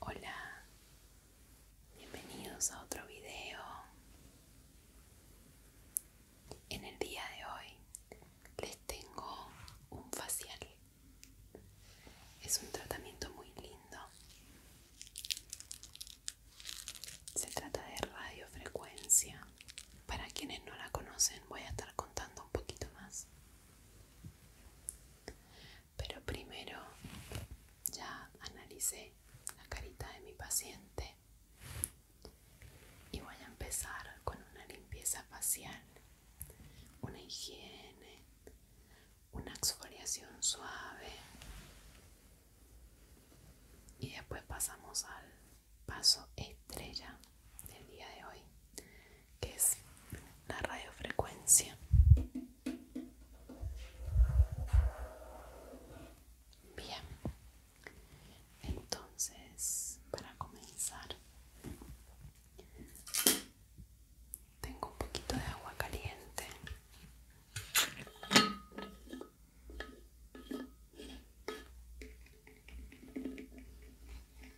Hola, bienvenidos a otro video. En el día de hoy les tengo un facial. Es un tratamiento muy lindo. Se trata de radiofrecuencia para quienes no la conocen voy a estar contando un poquito más. Pero primero ya analicé la carita de mi paciente y voy a empezar con una limpieza facial, una higiene, una exfoliación suave y después pasamos al paso estrella del día de hoy, que es la radiofrecuencia. Bien, entonces para comenzar tengo un poquito de agua caliente.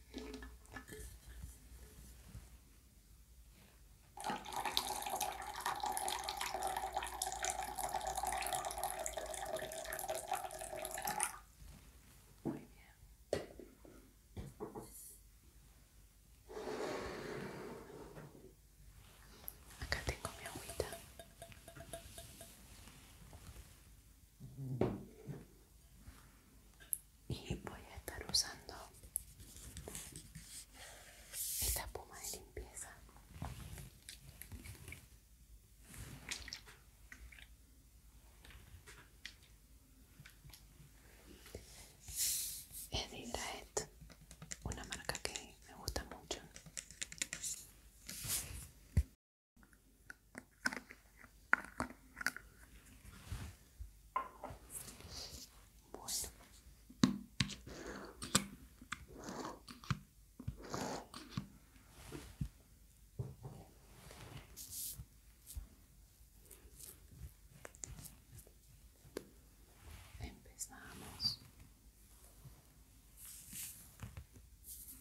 Muy bien. Acá tengo mi agüita y voy a estar usando esta puma de limpieza es una marca que me gusta mucho Empezamos.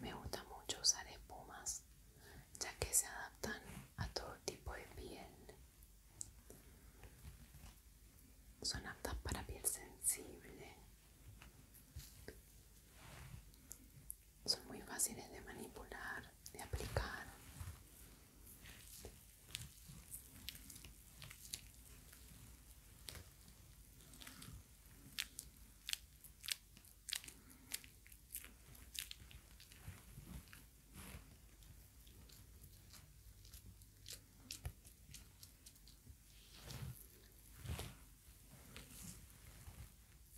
Me gusta mucho usar espumas ya que se adaptan a todo tipo de piel. Son aptas para piel sensible. Son muy fáciles de manipular, de aplicar.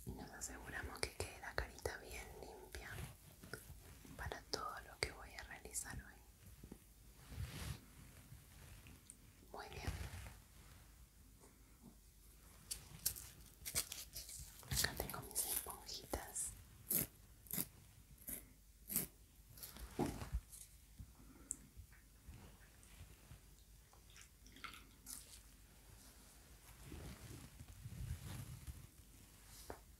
Y nos aseguramos que quede la carita bien limpia para todo lo que voy a realizar hoy. Muy bien. Acá tengo mis esponjitas.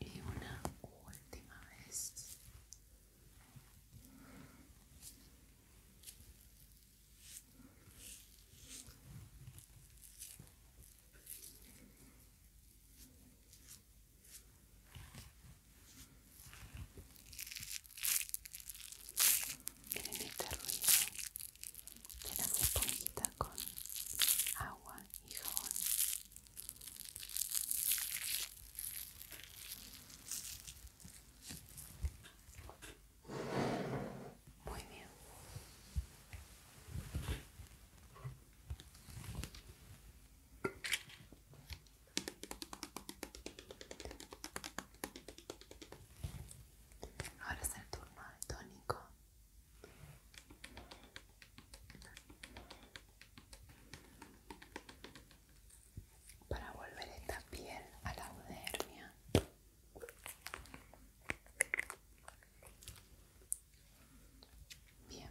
Y una última vez. Miren este ruido de las esponjitas con agua y jabón. Muy bien. Ahora es el turno de tónico. Para volver esta piel a la udermia Bien.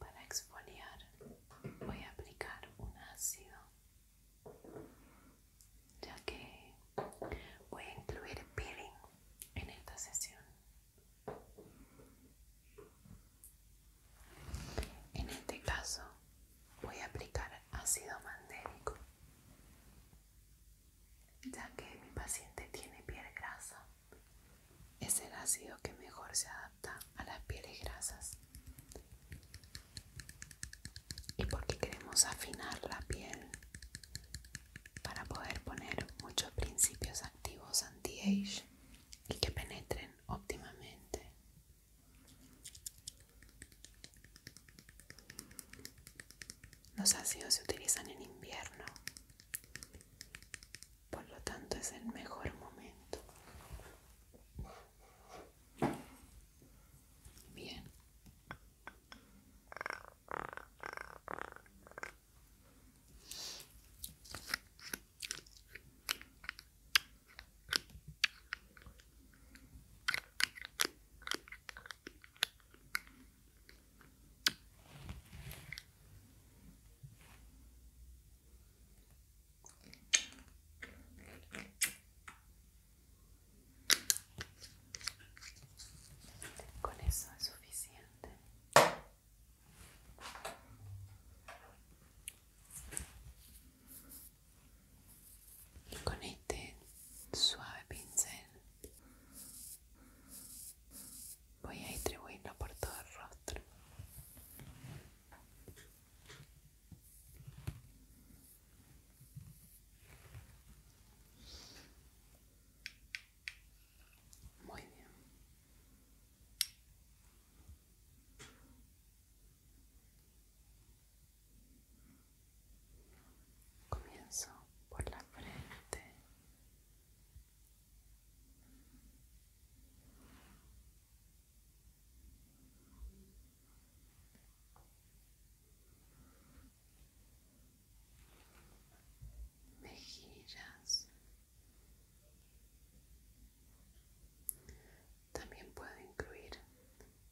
Para exfoliar voy a aplicar un ácido, ya que voy a incluir peeling en esta sesión. En este caso voy a aplicar ácido mandélico ya que mi paciente tiene piel grasa es el ácido que mejor se adapta a las pieles grasas y porque queremos afinar la piel para poder poner muchos principios activos anti-age y que penetren óptimamente los ácidos se utilizan en invierno, por lo tanto es el mejor momento. Bien. Con eso es suficiente y con este suave pincel voy a distribuirlo por todo el rostro muy bien Comienzo por la frente. Mejillas también puedo incluir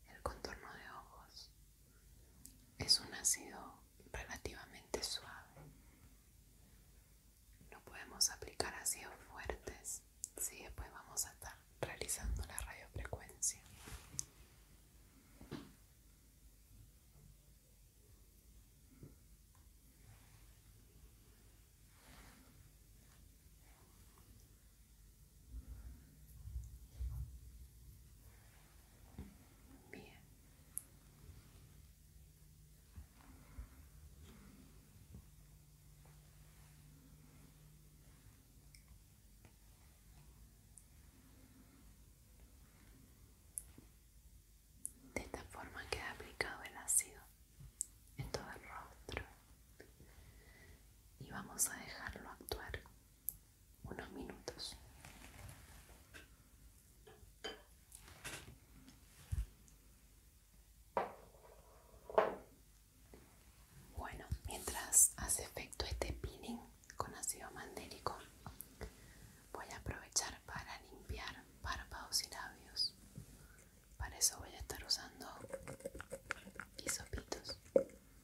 el contorno de ojos. Es un ácido relativamente suave. No podemos aplicar ácidos fuertes si después vamos a estar realizando la radiofrecuencia. De esta forma queda aplicado el ácido en todo el rostro y vamos a dejarlo actuar unos minutos. Bueno, mientras hace efecto este peeling con ácido mandélico, voy a aprovechar para limpiar párpados y labios. Para eso voy a estar usando hisopitos.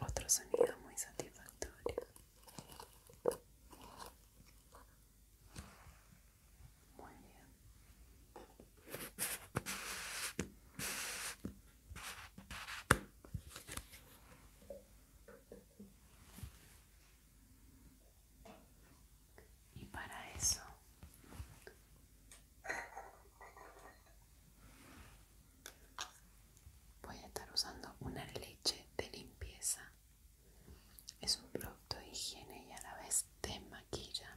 Otro sonido muy satisfactorio. Muy bien y para eso voy a estar usando una leche de limpieza es un producto de higiene y a la vez de maquilla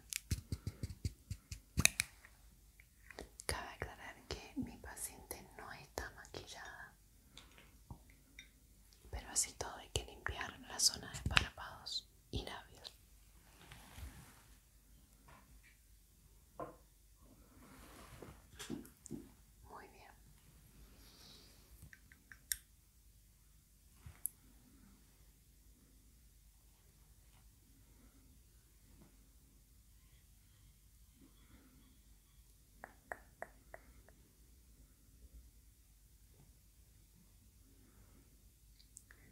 cabe aclarar que mi paciente no está maquillada pero así todo hay que limpiar la zona de párpados y labios. Muy bien.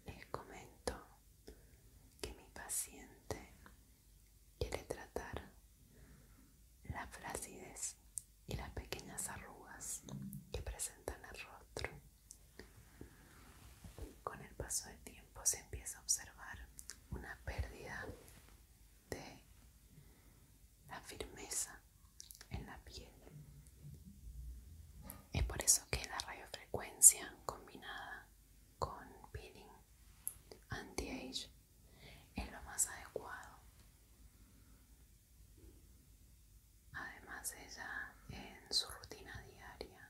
Les comento que mi paciente quiere tratar la flacidez y las pequeñas arrugas que presentan el rostro. Con el paso del tiempo se empieza a observar una pérdida de la firmeza en la piel es por eso que la radiofrecuencia combinada con peeling anti-age es lo más adecuado. Además ella en su rutina diaria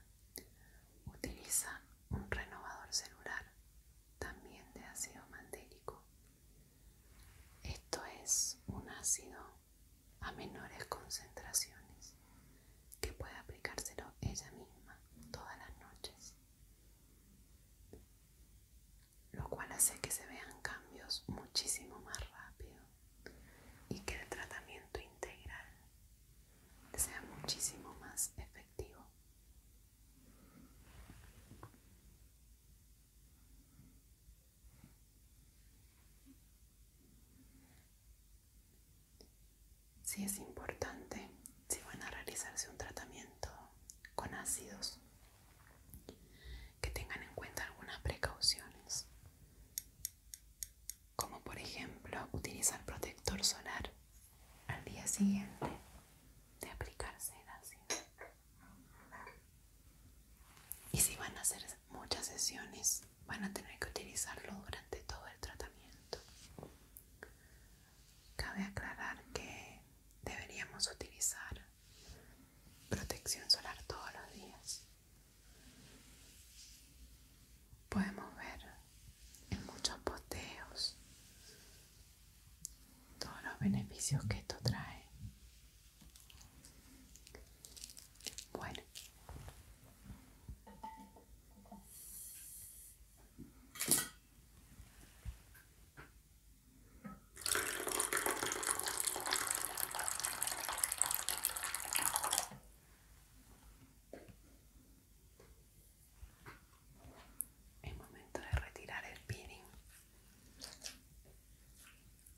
utiliza un renovador celular también de ácido mandélico. Esto es un ácido a menores concentraciones, que puede aplicárselo ella misma todas las noches, lo cual hace que se vean cambios muchísimo más rápido y que el tratamiento integral sea muchísimo más efectivo si es importante, si van a realizarse un tratamiento con ácidos, que tengan en cuenta algunas precauciones, como por ejemplo utilizar protector solar al día siguiente de aplicarse el ácido. Y si van a hacer muchas sesiones van a tener que utilizarlo durante todo el tratamiento. Cabe aclarar que deberíamos utilizar protección solar todos los días. Podemos ver en muchos posteos todos los beneficios que esto trae. Bueno. Es momento de retirar el peeling.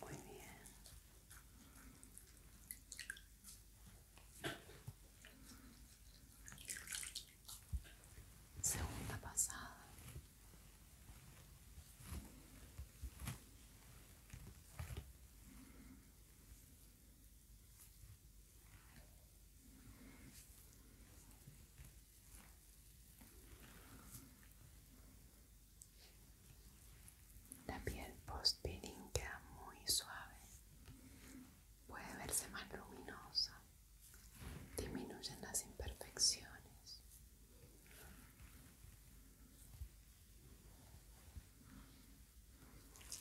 Muy bien. Segunda pasada. La piel post-peeling queda muy suave, puede verse más luminosa, disminuyen las imperfecciones.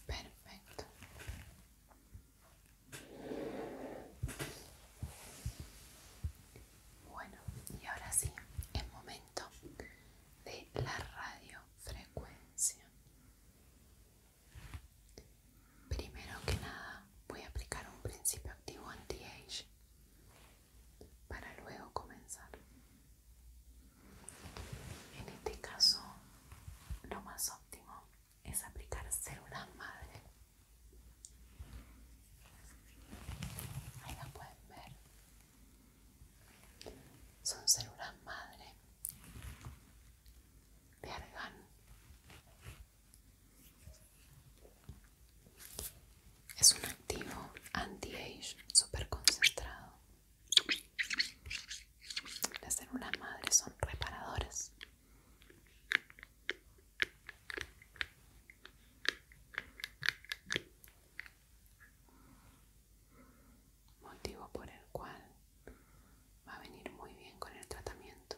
Perfecto. Bueno, y ahora sí, es momento de la radiofrecuencia. Primero que nada, voy a aplicar un principio activo anti-age para luego comenzar. En este caso, lo más óptimo es aplicar células madre. Ahí la pueden ver. Son células madre de argan Es un activo anti-age super concentrado. Las células madres son reparadoras. Motivo por el cual va a venir muy bien con el tratamiento.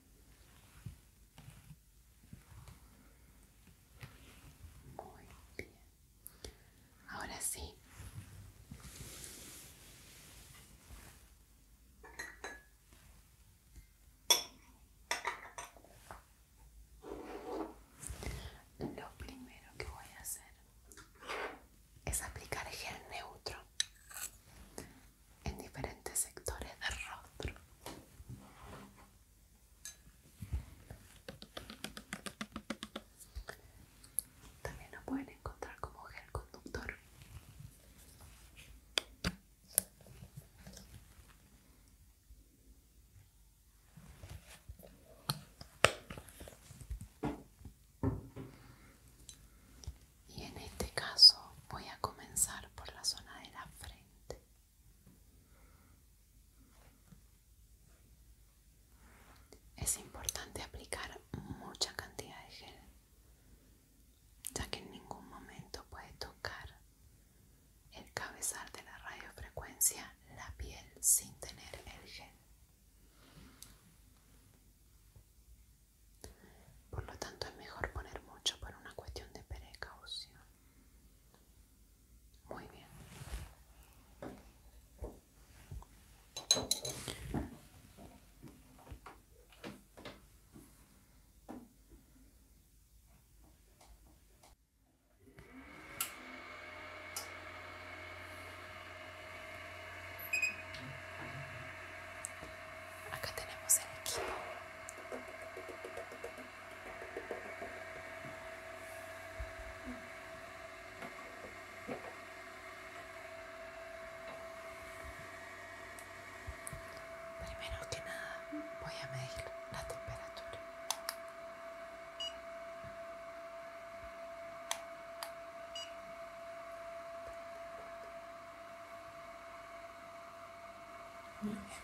Muy bien. Ahora sí. Lo primero que voy a hacer es aplicar gel neutro en diferentes sectores del rostro. También lo pueden encontrar como gel conductor. Y en este caso voy a comenzar por la zona de la frente. Es importante aplicar mucha cantidad de gel, ya que en ningún momento puede tocar el cabezal de la radiofrecuencia la piel sin tener el gel. Por lo tanto es mejor poner mucho por una cuestión de precaución. Muy bien. Acá tenemos el equipo Primero que nada voy a medir la temperatura.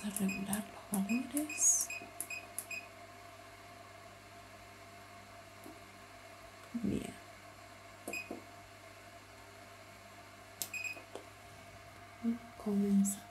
Vamos a regular los valores. Bien. Y comenzamos.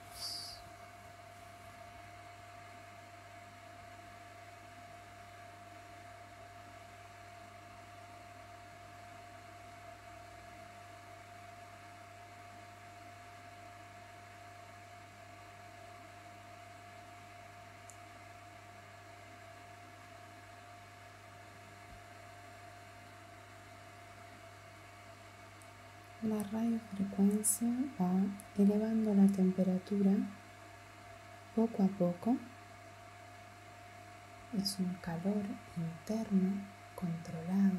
La radiofrecuencia va elevando la temperatura poco a poco es un calor interno controlado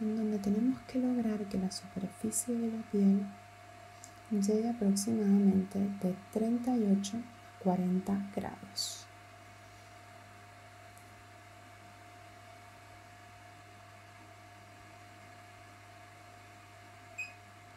en donde tenemos que lograr que la superficie de la piel llegue aproximadamente de 38 a 40 grados.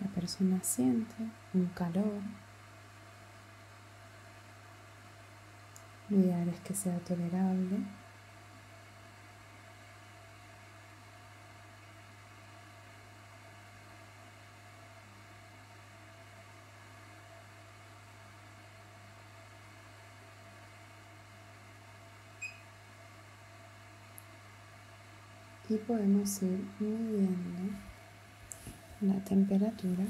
La persona siente un calor. Lo ideal es que sea tolerable y podemos ir midiendo la temperatura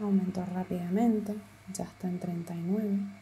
aumentó rápidamente ya está en 39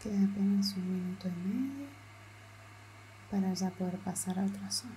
Queda apenas un minuto y medio para ya poder pasar a otra zona.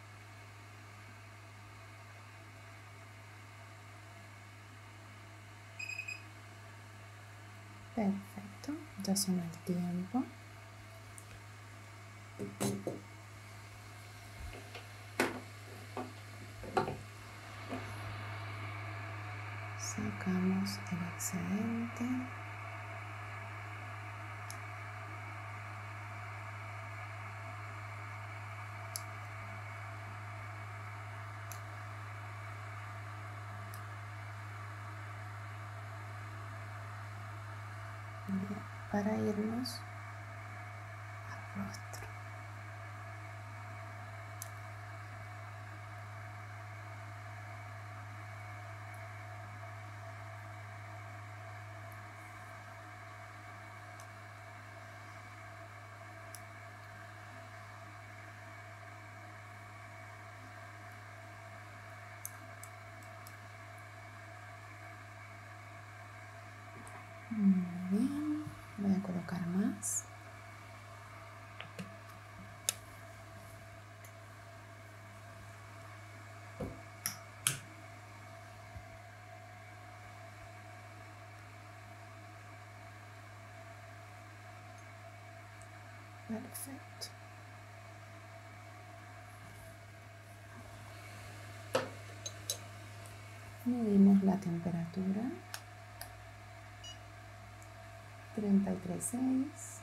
Perfecto, ya son el tiempo. Sacamos el excedente para irnos al rostro. Muy bien, voy a colocar más. Perfecto. Medimos la temperatura. 33.6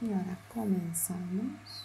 Y ahora comenzamos.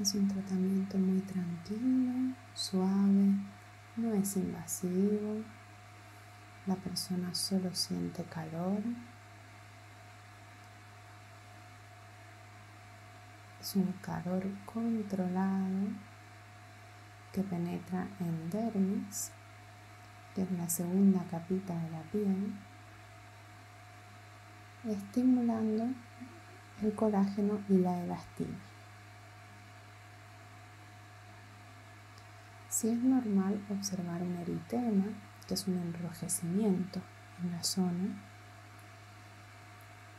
Es un tratamiento muy tranquilo, suave, no es invasivo. La persona solo siente calor es un calor controlado que penetra en dermis, que es la segunda capita de la piel, estimulando el colágeno y la elastina. Si es normal observar un eritema, que es un enrojecimiento en la zona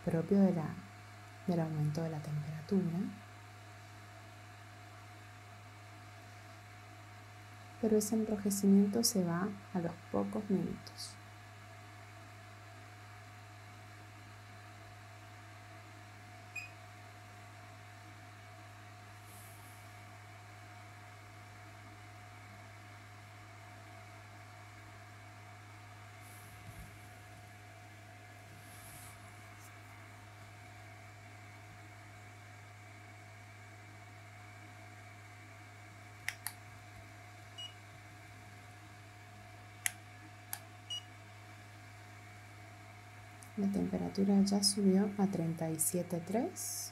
propio del aumento de la temperatura. Pero ese enrojecimiento se va a los pocos minutos. La temperatura ya subió a 37.3.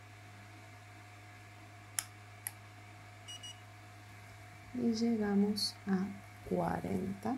y llegamos a 40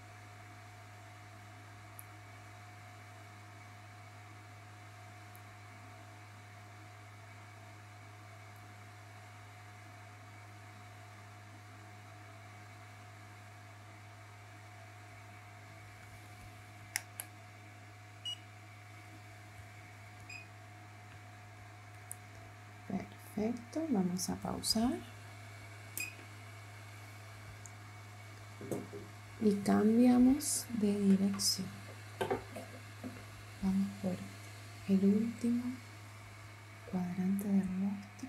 Perfecto, vamos a pausar y cambiamos de dirección. Vamos por el último cuadrante del rostro.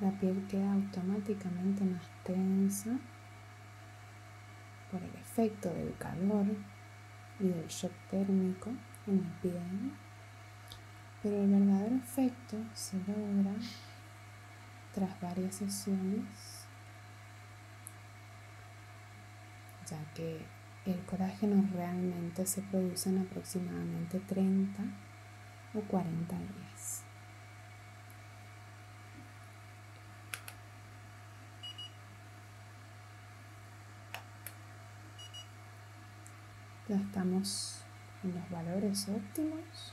La piel queda automáticamente más tensa por el efecto del calor y del shock térmico en la piel, pero el verdadero efecto se logra tras varias sesiones, ya que el colágeno realmente se produce en aproximadamente 30 o 40 días. Ya estamos en los valores óptimos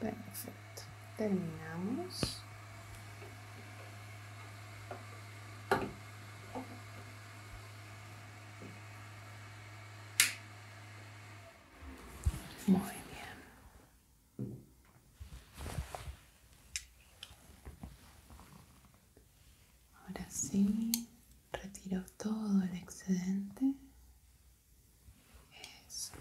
Perfecto. Terminamos. Muy bien. Ahora sí, retiro todo el excedente. Eso.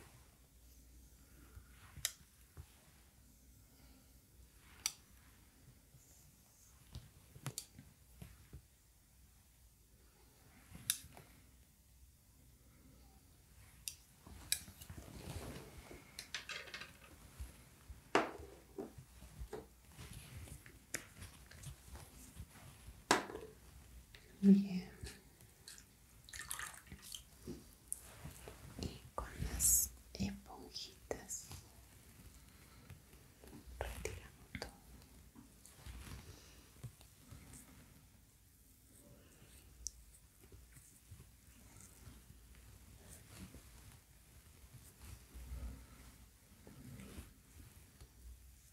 Bien. Y con las esponjitas retiramos todo.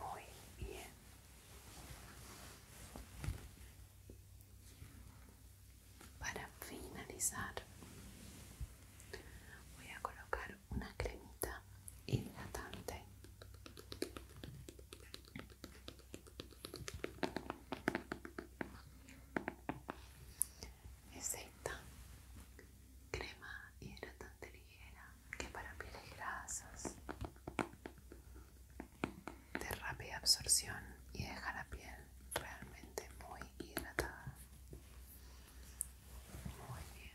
Muy bien. Para finalizar, voy a colocar una cremita hidratante es esta crema hidratante ligera que para pieles grasas de rápida absorción y deja la piel realmente muy hidratada. Muy bien.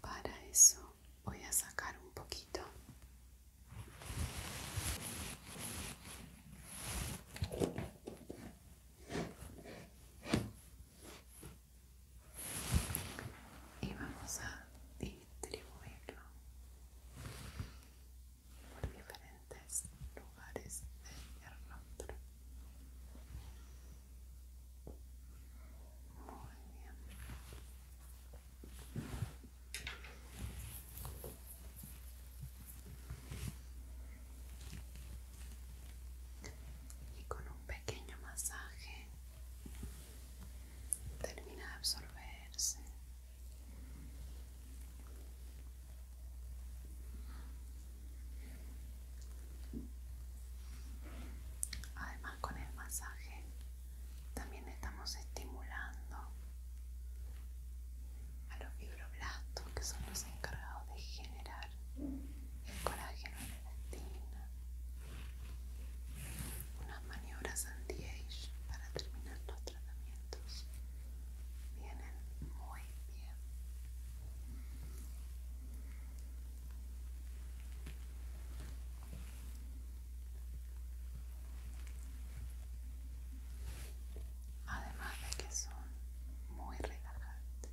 Para eso voy a sacar un poquito. Y vamos a distribuirlo por diferentes lugares de rostro Muy bien. Y con un pequeño masaje termina de absorberse Además con el masaje también estamos estimulando a los fibroblastos que son los encargados de generar el colágeno en la estina Unas maniobras anti-age para terminar los tratamientos vienen muy bien además de que son muy relajantes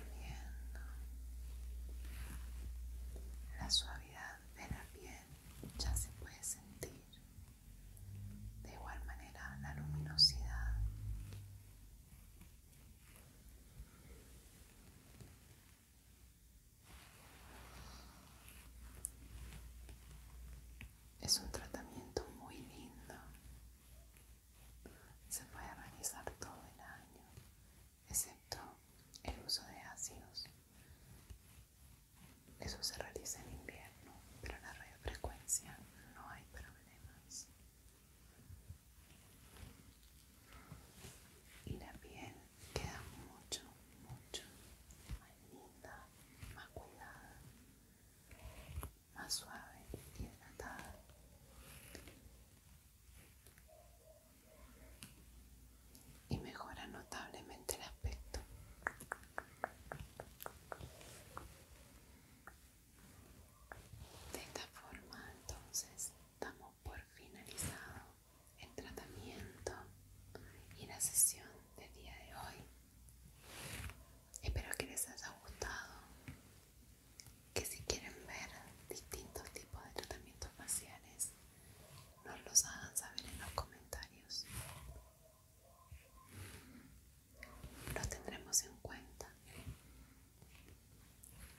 la suavidad de la piel ya se puede sentir de igual manera la luminosidad es un tratamiento muy lindo se puede realizar todo el año, excepto el uso de ácidos. Eso se realiza en invierno, pero en la radiofrecuencia no hay problemas. Y la piel queda mucho, mucho más linda, más cuidada, más suave y hidratada y mejora notablemente el aspecto. De esta forma entonces damos por finalizado el tratamiento y la sesión del día de hoy. Espero que les haya gustado que si quieren ver distintos tipos de tratamientos faciales nos los hagan saber en los comentarios los tendremos en cuenta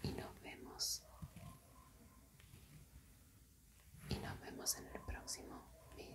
y nos vemos y nos vemos en el próximo video